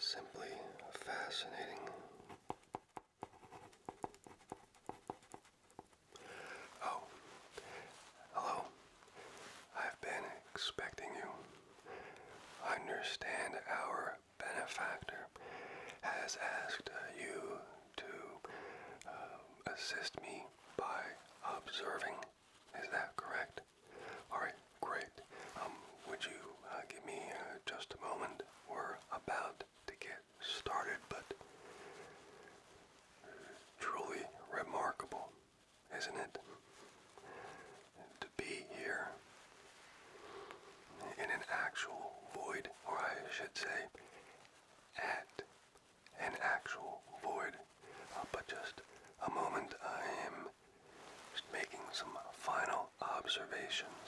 Simply fascinating. Oh, hello. I've been expecting you. Understand our benefactor has asked you to um, assist me by observing. Is that correct? All right, great. Um, would you uh, give me uh, just a moment? We're about to get started, but truly remarkable, isn't it? To be here in an actual void, or I should say, at an actual void, uh, but just a moment I am just making some final observations.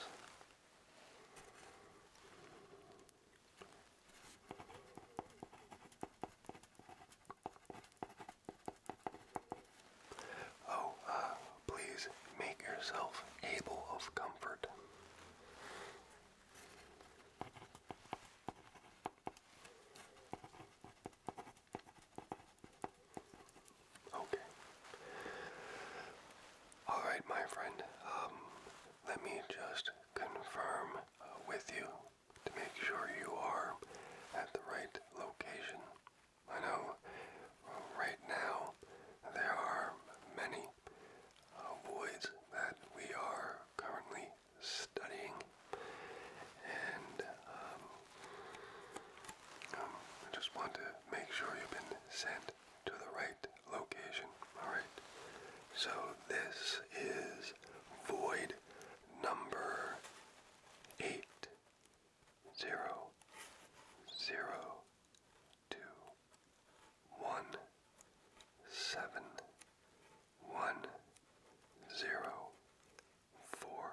Oh, uh, please make yourself able of comfort. Okay. All right, my friend. Um, let me just confirm uh, with you to make sure you are at the right location. I know uh, right now there are many voids uh, that we are currently studying, and um, um, I just want to make sure you've been sent to the right location. All right. So this is void number eight zero zero two one seven one zero four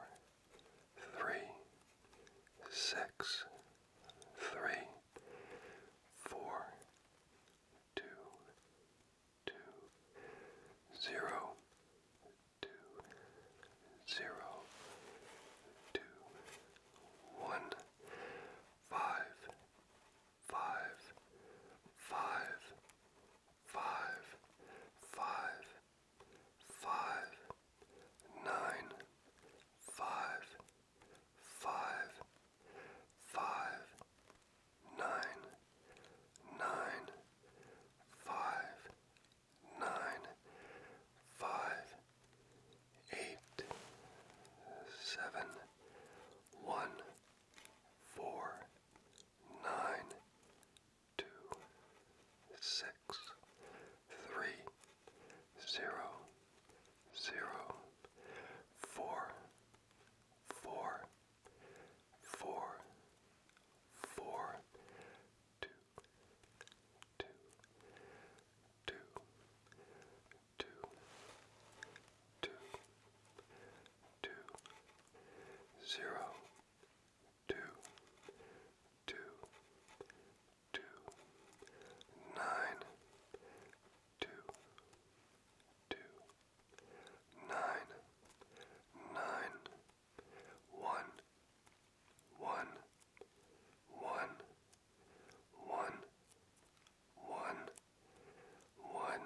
three six three four two two zero two zero two one five five, five, five, five, five, nine, five, five, five, nine, nine, five, nine, five, eight, seven, one four, nine, two, six, three, zero, zero, four, four, four, four, two, two, two, two, two, two, zero, two, two, two, nine, two, two, nine, nine, one, one, one, one, one, one,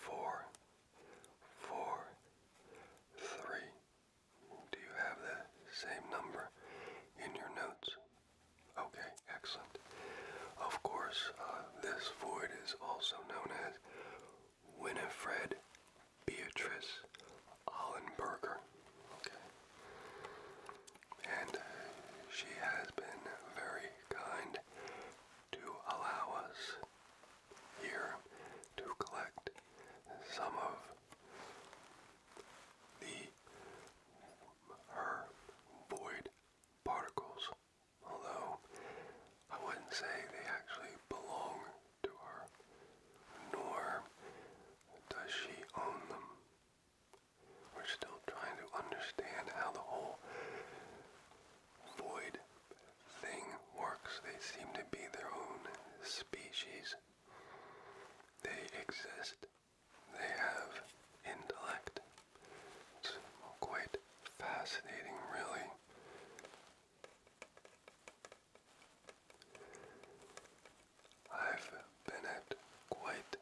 four, four, three. Do you have the same number in your notes? Okay, excellent. Of course, uh, this void is also known as Winifred Beatrice Ollenberger. Okay. And she has been very kind to allow us here to collect some of the her void particles, although I wouldn't say they actually belong to her, nor does she own them. We're still trying to understand how the whole void thing works. They seem to be their own species. They exist. They have intellect. It's quite fascinating, really. I've been at quite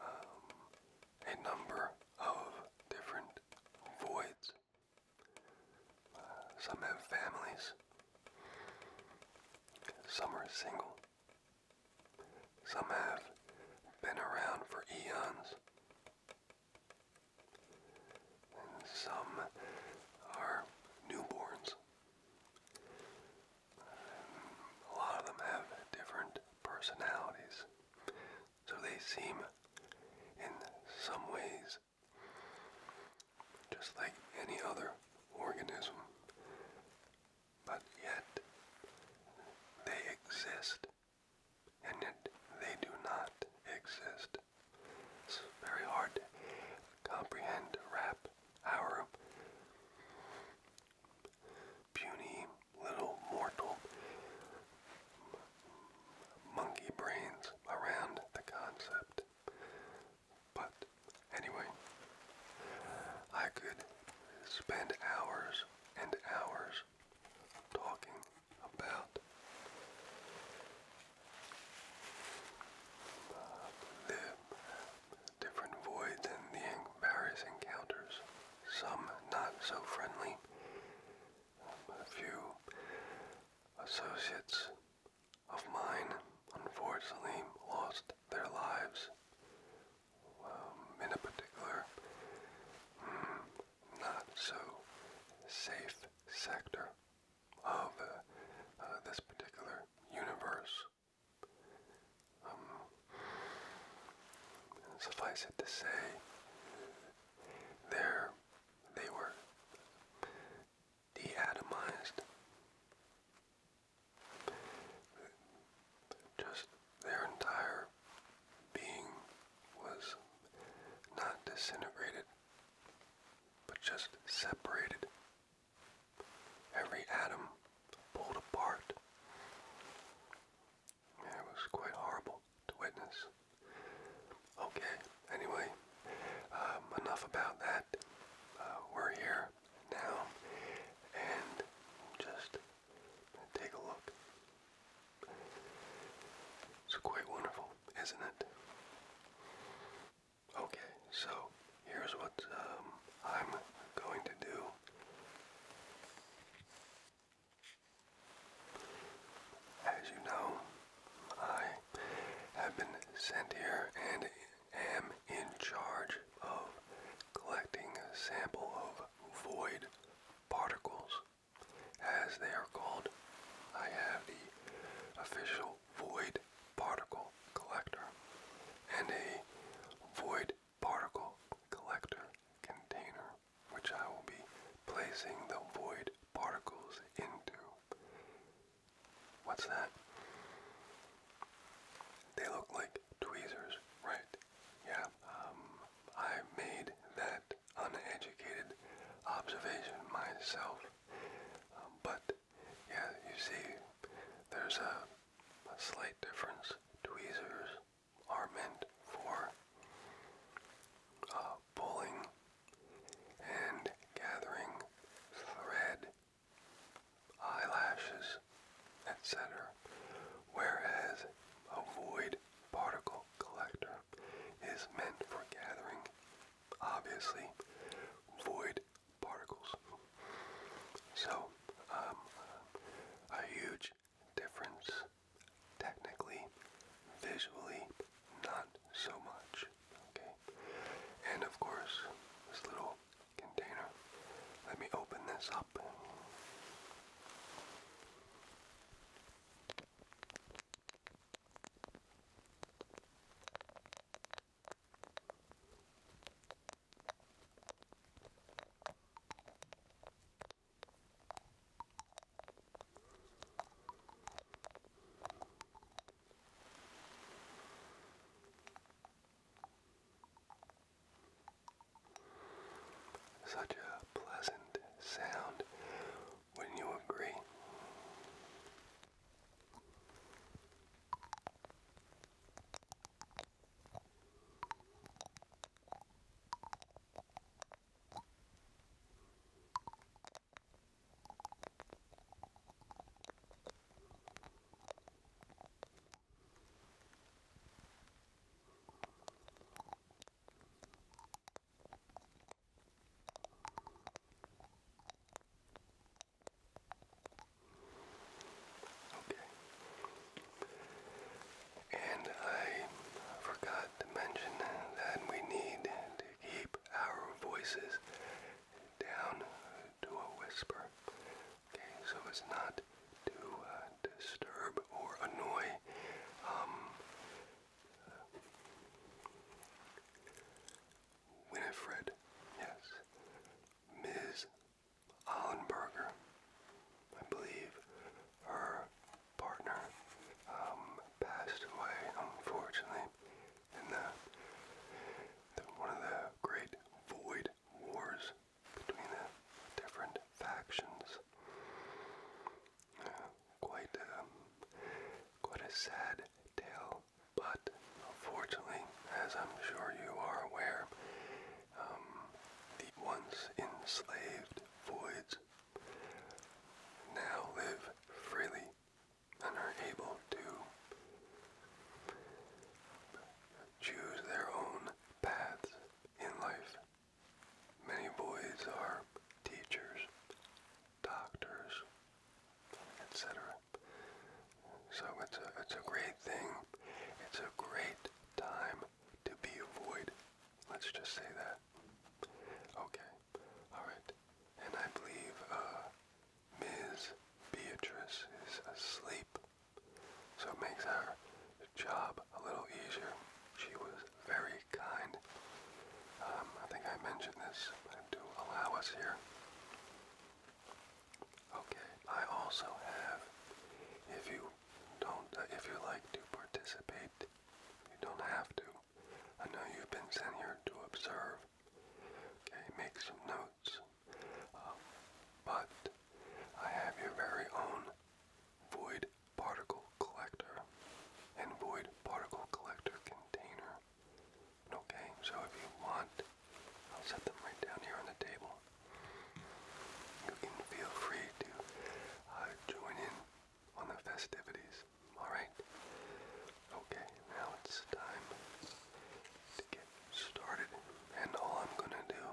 um, a number of different voids some have families. Some are single. Some have been around for eons. some are newborns. a lot of them have different personalities. So they seem, in some ways, just like any other organism, but yet they exist, and yet they do not exist. It's very hard to comprehend, wrap our puny little mortal monkey brains around the concept. But anyway, I could spend hours and hours talking about the different voids and the various encounters, some not so friendly, a few associates of mine unfortunately lost their lives. Um, in a particular hmm, not so safe sector of uh, uh, this particular universe. Um, suffice it to say, their they were deatomized. Just their entire being was not disintegrated, but just separated. Every atom pulled apart. it was quite horrible to witness. Okay, anyway, um, enough about that. Uh, we're here now, and just take a look. It's quite wonderful, isn't it? Okay, so here's what um, I'm going to do. As you know, I have been sent here and am in charge of collecting a sample of void particles, as they are called. I have the official void particle collector and a void particle collector container which I will be placing the void particles into. What's that? They look like tweezers, right? Yeah, um, I made that uneducated observation myself. Um, but, yeah, you see, there's a, slight difference. Tweezers are meant for uh, pulling and gathering thread, eyelashes, etc. Whereas a void particle collector is meant for gathering, obviously, void particles. So, um, a huge difference technically, visually, not so much. Okay, and of course, this little container. Let me open this up. Such a pleasant sound, wouldn't you agree? Okay. And I forgot to mention that we need to keep our voices down to a whisper. Okay, so it's not to uh, disturb or annoy. Um, uh, Winifred, yes, Ms. Allenberger, I believe her partner um, passed away, unfortunately, in one of the great void wars between the different factions. quite, um, quite a sad tale, but unfortunately, as I'm sure you are aware, um, the once enslaved voids now live freely and are able to choose their own paths in life. Many boys are teachers, doctors, etc. So it's a, it's a great thing. It's a great time to be a void. Let's just say that. Okay. Alright. And I believe uh, Ms. Beatrice is asleep. So it makes our job a little easier. She was very kind. Um, I think I mentioned this, but allow us here. Okay, I also have, if you don't, uh, if you like to participate, you don't have to, I know you've been sent here to observe, okay, make some notes, um, but I have your very own void particle collector and void particle collector container. Okay, so if you want, I'll set them right down here on the table. You can feel free to uh, join in on the festivities. Alright? Okay, now it's time to get started. And all I'm gonna do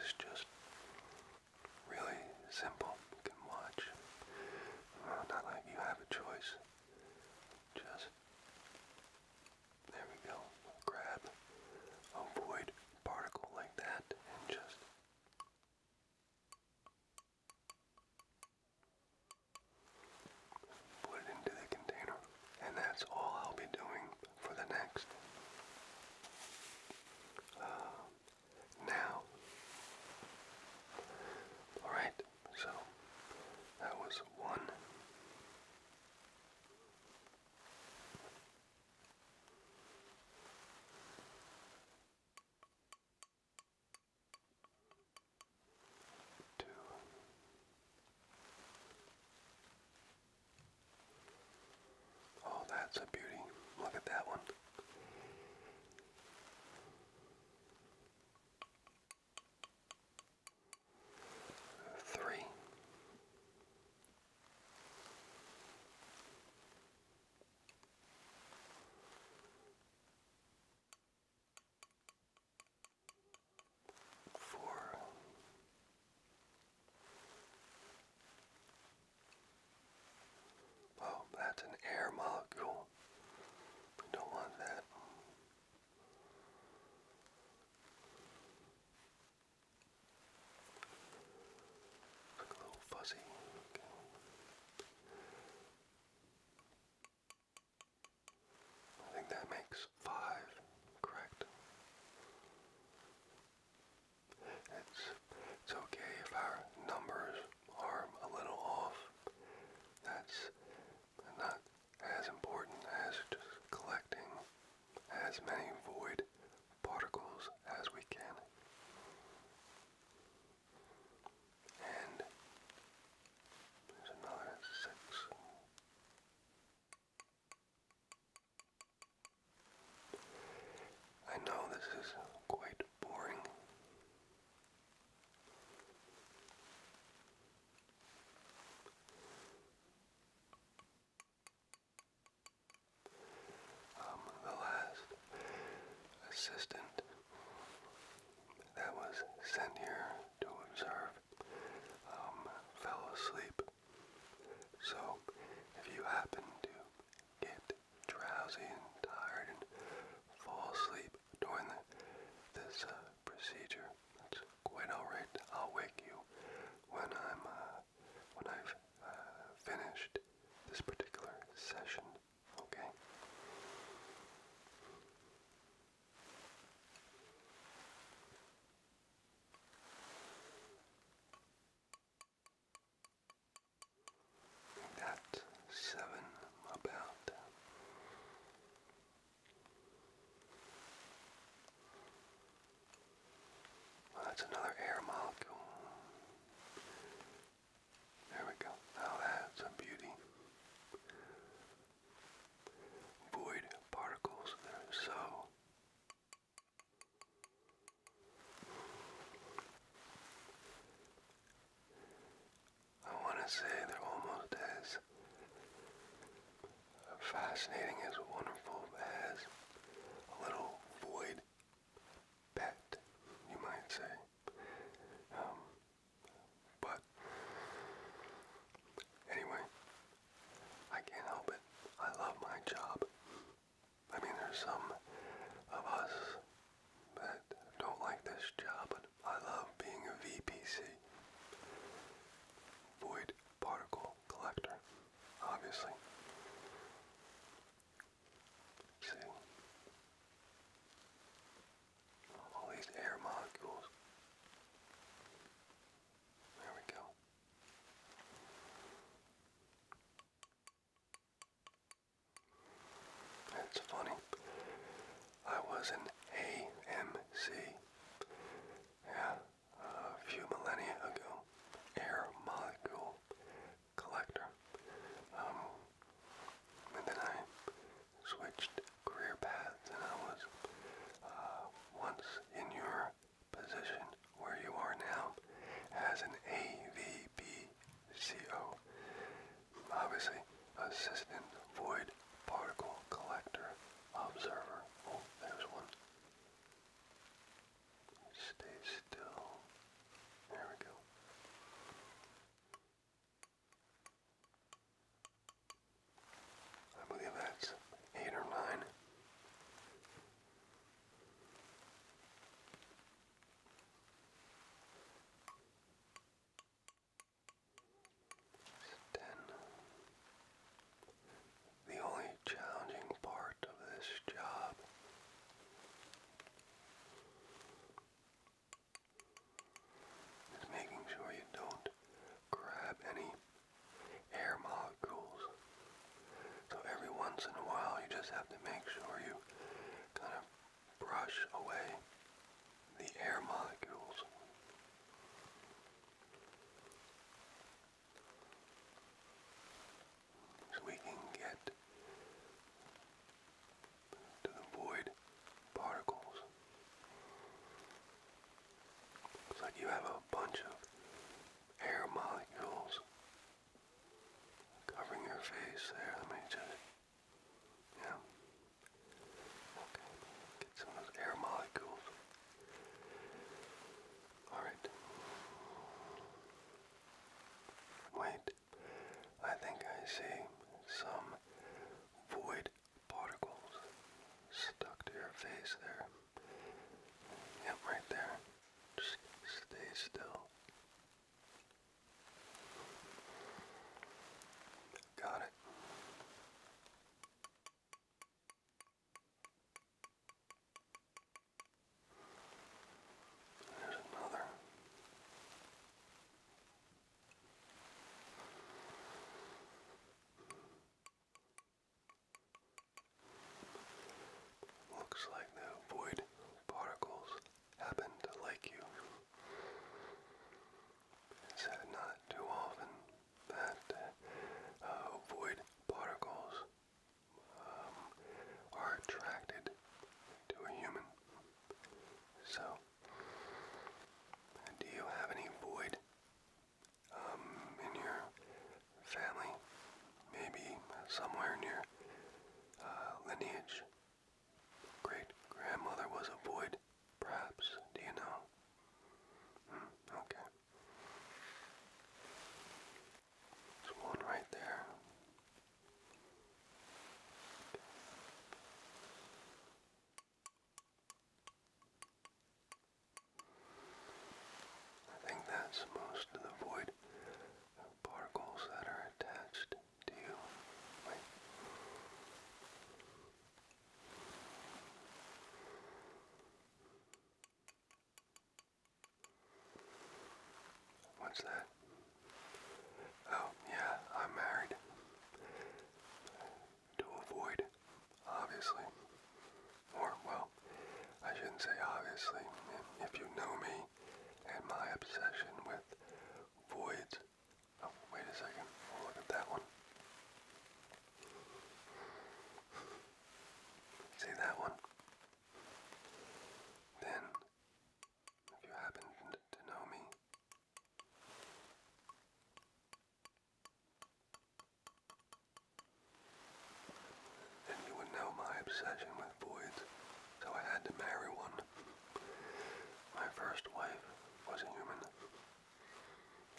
is just really simple. You can watch. Uh, not like you have a choice. Just there we go. Grab a void particle like that and just Put it into the container, and that's all I'll be doing for the next. Uh, now, all right. So that was one two. Oh, that's a beauty. Look at that one. Three four, well, oh, that's an air molecule. We don't want that. Look a little fuzzy. Okay. I think that makes five, correct? It's, it's okay if our numbers are a little off. That's not as important as just collecting as many void particles as we can. And there's another six. I know this is quite boring. Um, the last assistant that was sent here to observe um, fell asleep. So if you happen to get drowsy and tired and fall asleep during this uh, procedure, that's quite alright. I'll wake you when I'm uh, when I've uh, finished this particular session. Okay. That's seven about. Well, that's another air molecule. There we go. Now that's a beauty void particles. so I want to say they're almost as fascinating as wonderful as a little void pet, you might say. Um, but anyway, I can't help it. I love my job. I mean, there's some of us that don't like this job, I love being a VPC. Void particle collector, obviously. See? all these air molecules. There we go. It's funny. I was an AMC. Yeah, a few millennia ago. Air molecule collector. Um, and then I switched career paths and I was uh, once in your position where you are now as an A V B C O. obviously Assistant Void Particle Collector Observer. Oh, there's one. Stay still. There we go. I believe that's eight or nine. Ten. The only challenging part of this job is making sure you don't grab any air molecules. So every once in a while you just have to make sure you kind of brush away the air molecules. So we can get to avoid particles. It's like you have a bunch of air molecules covering your face there. Let me just, yeah. Okay, get some of those air molecules. All right. Wait, I think I see some void particles stuck to your face there. Yep, right there. Just stay still. Got it. There's another. Looks like the void particles happen to like you. It's not too often that uh, void particles um, are attracted to a human. So do you have any void um, in your family? Maybe somewhere in your uh, lineage? Great grandmother was a void, perhaps. Do you know? Hmm, okay. one right there. I think that's most of the void particles that are attached to you. What's that? Oh, yeah, I'm married to avoid, obviously. Or, well, I shouldn't say obviously. If you know me and my obsession with voids. Oh, wait a 2nd look at that one. See that one? Then, if you happen to know me, and you would know my obsession with voids, so I had to marry one. My first wife was a human.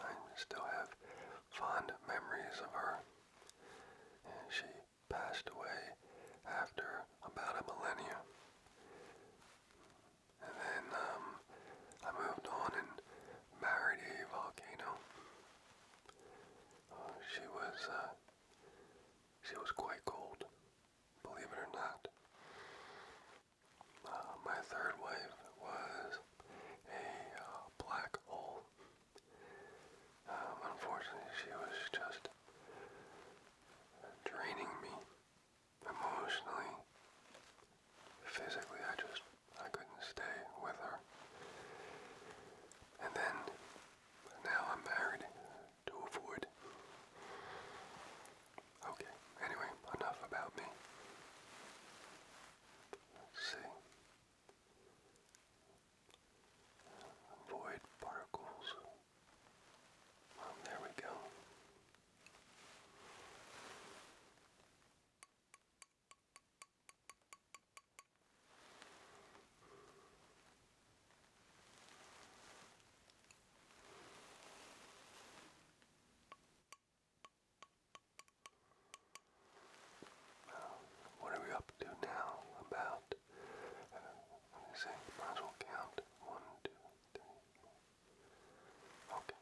I still have fond memories of her. And she passed away after about a millennia. And then um, I moved on and married a volcano. Uh, she was uh, she was quite cold, believe it or not. Uh, my third wife was a black hole. Um, unfortunately, she was just draining me emotionally, physically, I just, I couldn't stay with her. And then, now I'm married to a Okay, anyway, enough about me. Let's particles. there we go. Uh, what are we up to now? About, uh, let me see, might as well count. One, two, three, four, Okay.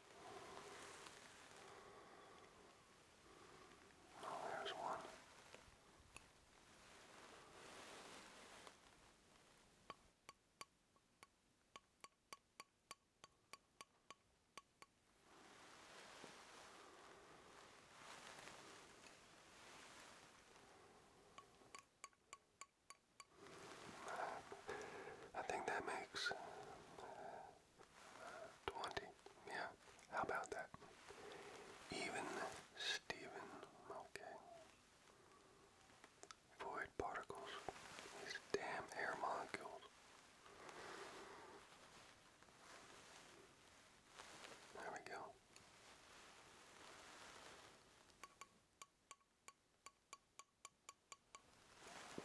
Well, oh, there's one. I think that makes Twenty. Yeah. How about that? Even Steven. Okay. Void particles. These damn air molecules. There we go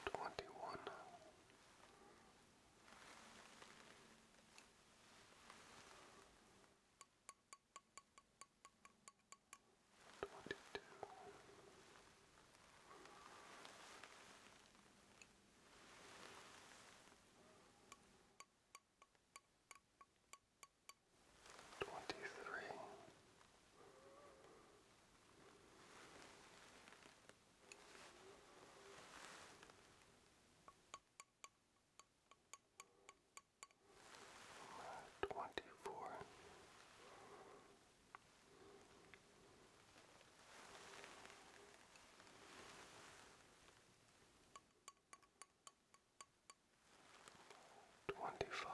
twenty one. Twenty two, twenty three, Twenty four. Twenty five.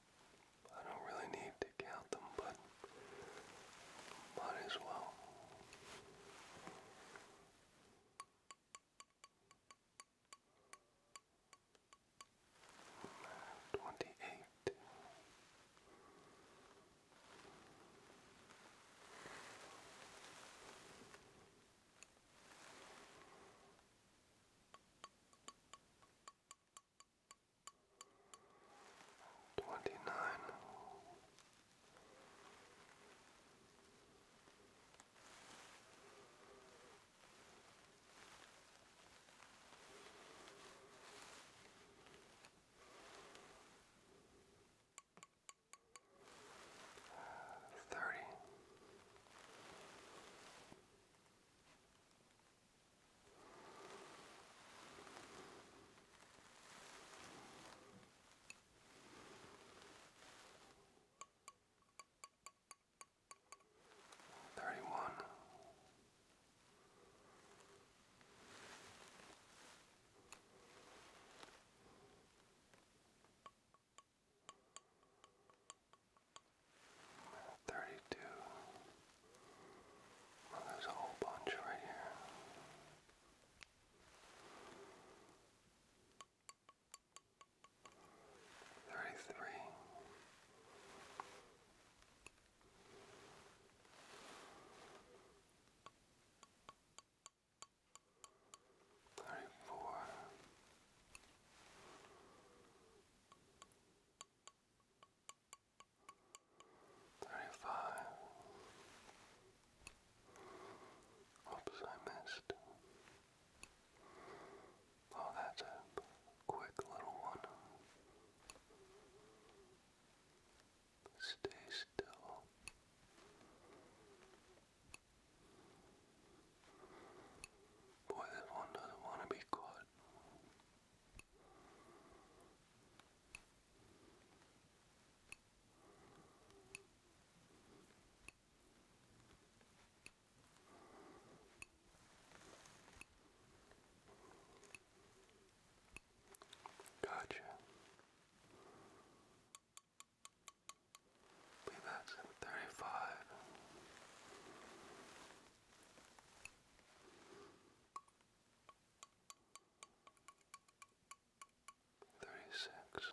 I don't really need to count them, but might as well. Twenty-eight twenty nine. Thirty Thirty one. Thirty two. Well, oh, there's a whole bunch right here. Thirty-three. Thirty-four. Thirty-five thirty-five. Oops, I missed. Oh, that's a quick little one. Stay still. Boy, this one doesn't want to be caught. Gotcha. Be back at thirty five thirty six.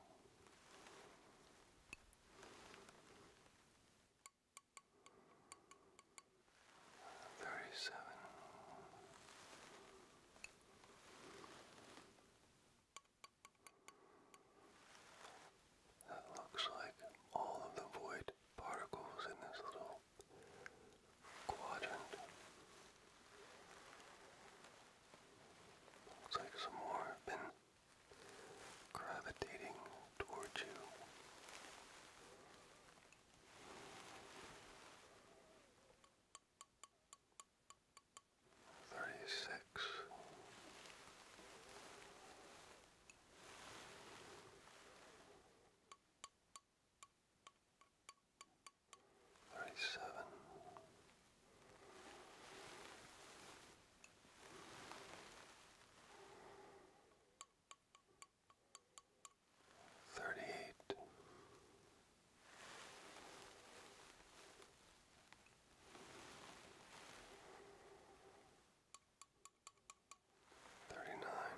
that looks like all of the void particles in this little quadrant. Looks like some more have been gravitating towards you. Thirty six. Thirty-seven. Thirty-eight. Thirty nine,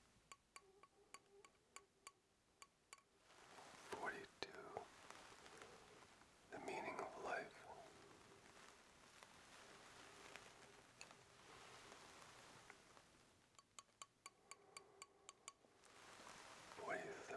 Forty-two. The meaning of life. Forty-three.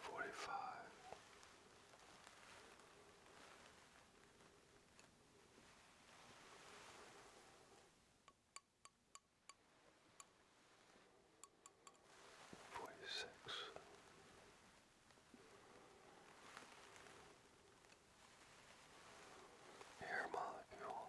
forty five. Forty six, air molecule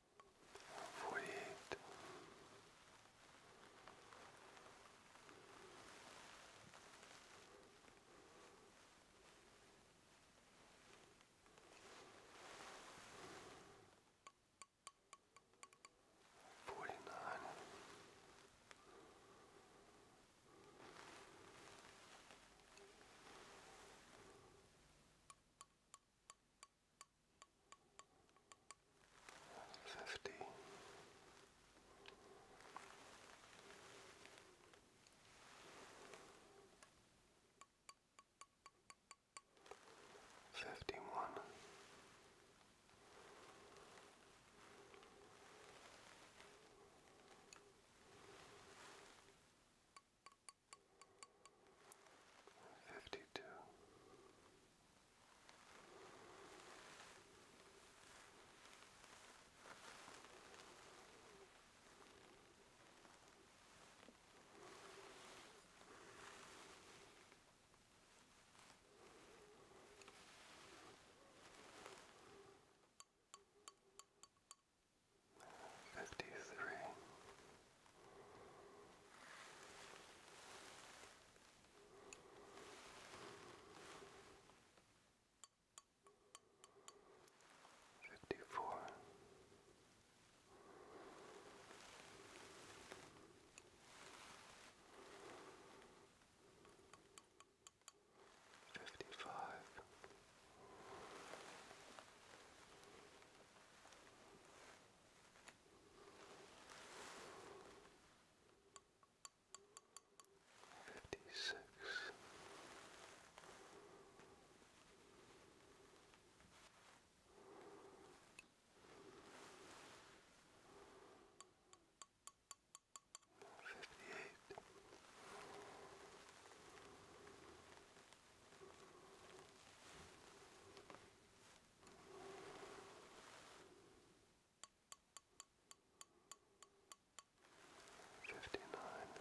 forty-eight. Forty nine, fifty. Fifty one, fifty two, Fifty three, Fifty four. Fifty five. 56 58 59 fifty nine.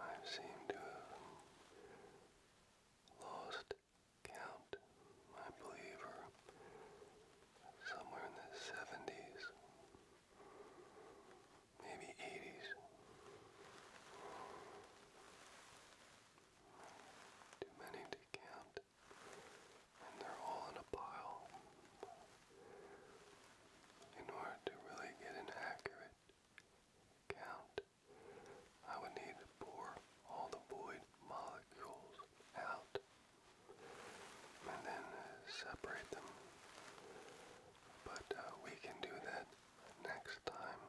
I seem to have lost count, I believe, or somewhere in the 70s, maybe 80s. Too many to count, and they're all in a pile. In order to really get an accurate count, I would need to pour all the void molecules out and then separate them. But uh, we can do that next time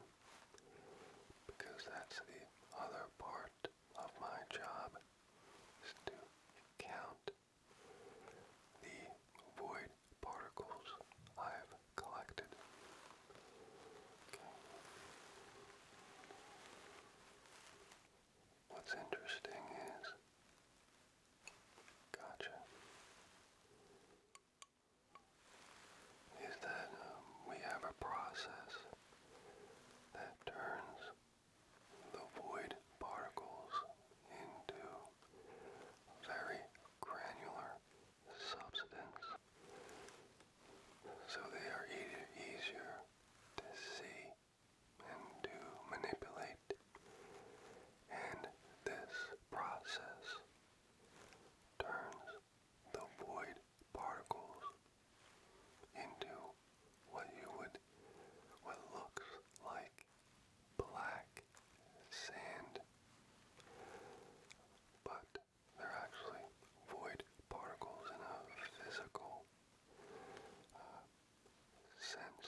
because that's the other part of my job is to count the void particles I've collected. Okay. What's interesting is, gotcha, is that um, we have a process that turns the void particles into very granular substance. So they are easier to see and to manipulate. And this process turns the void particles into what you would what looks like black sand. But they're actually void particles in a physical uh, since,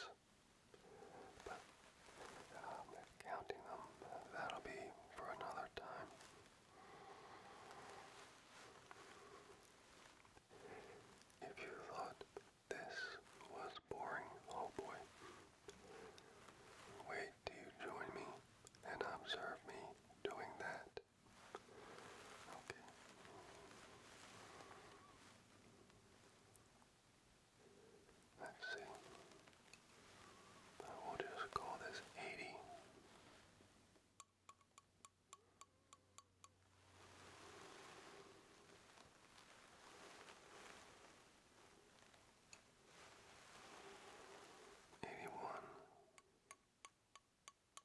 But um, counting them, that'll be for another time. If you thought this was boring, oh boy, wait till you join me and observe me doing that. Okay. Let's see. I will just call this 80. Eighty one,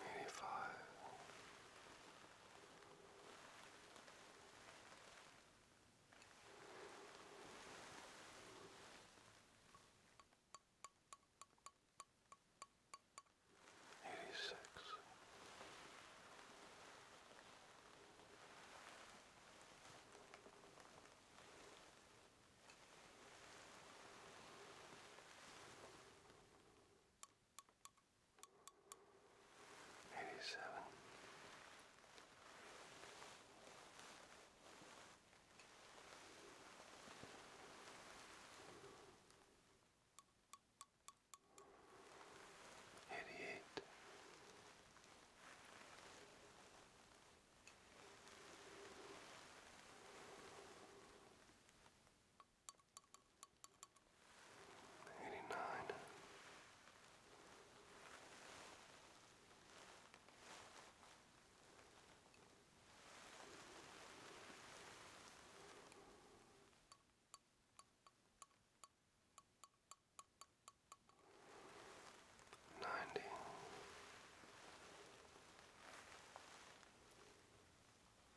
maybe five. Eighty six, Eighty-seven. Eighty-eight. Eighty-nine. Ninety.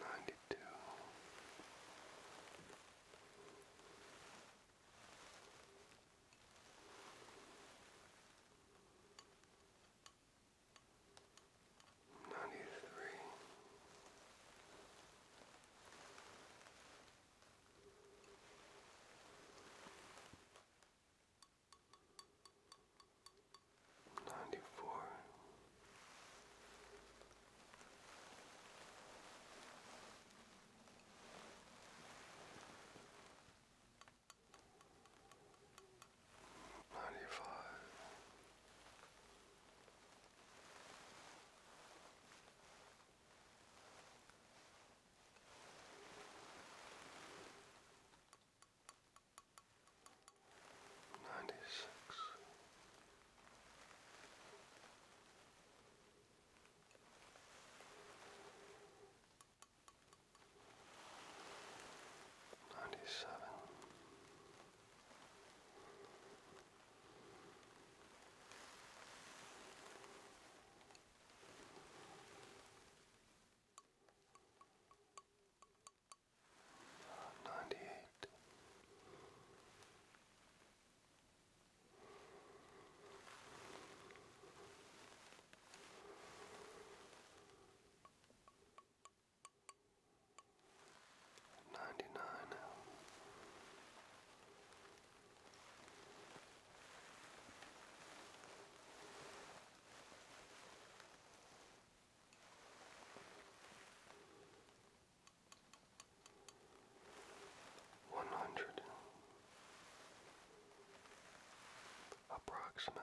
Ninety two. Ninety three. Ninety four. Ninety five ninety six. Ninety seven, Ninety eight. Ninety nine. One hundred approximately.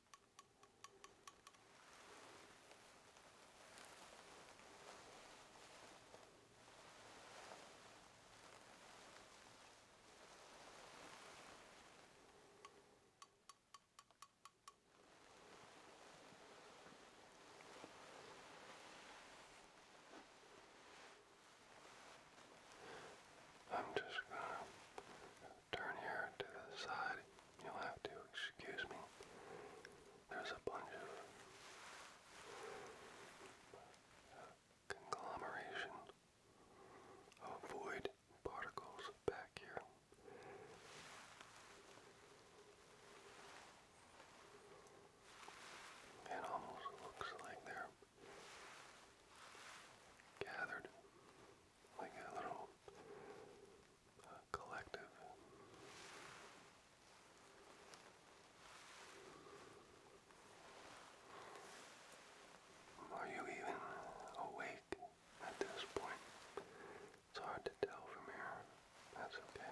I'm just going to turn here to the side. You'll have to excuse me. There's a bunch of conglomeration of void particles back here. It almost looks like they're gathered like a little collective. Are you even awake at this point? It's hard to tell from here. That's okay.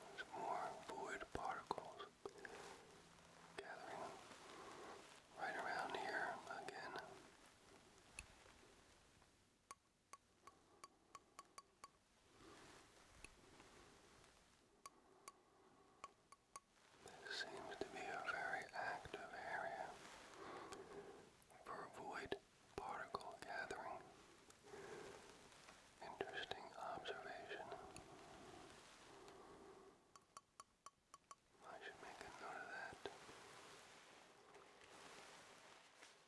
There's more void particles gathering right around here again. This seems to be a very active area for void particle gathering. Interesting observation. I should make a note of that.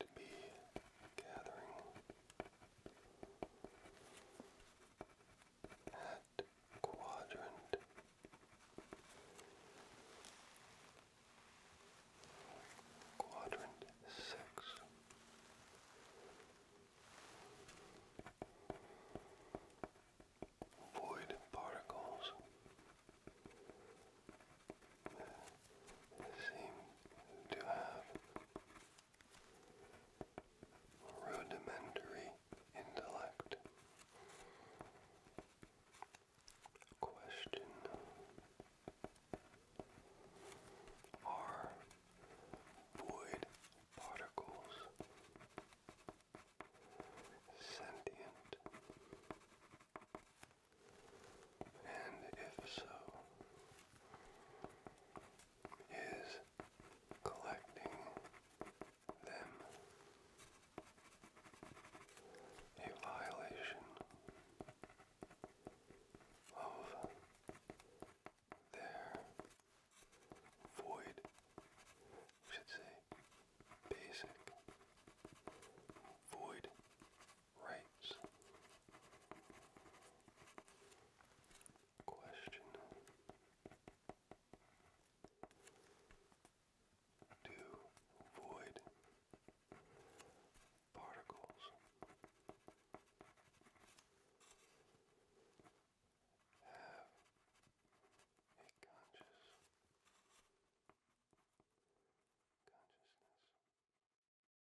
to be gathering at quadrant quadrant six. Void particles seem to have rudimentary intellect. Question Are void particles sentient? And if so, is collecting them a violation of their void, should say, basic void rights. Question Do void particles have a conscious consciousness?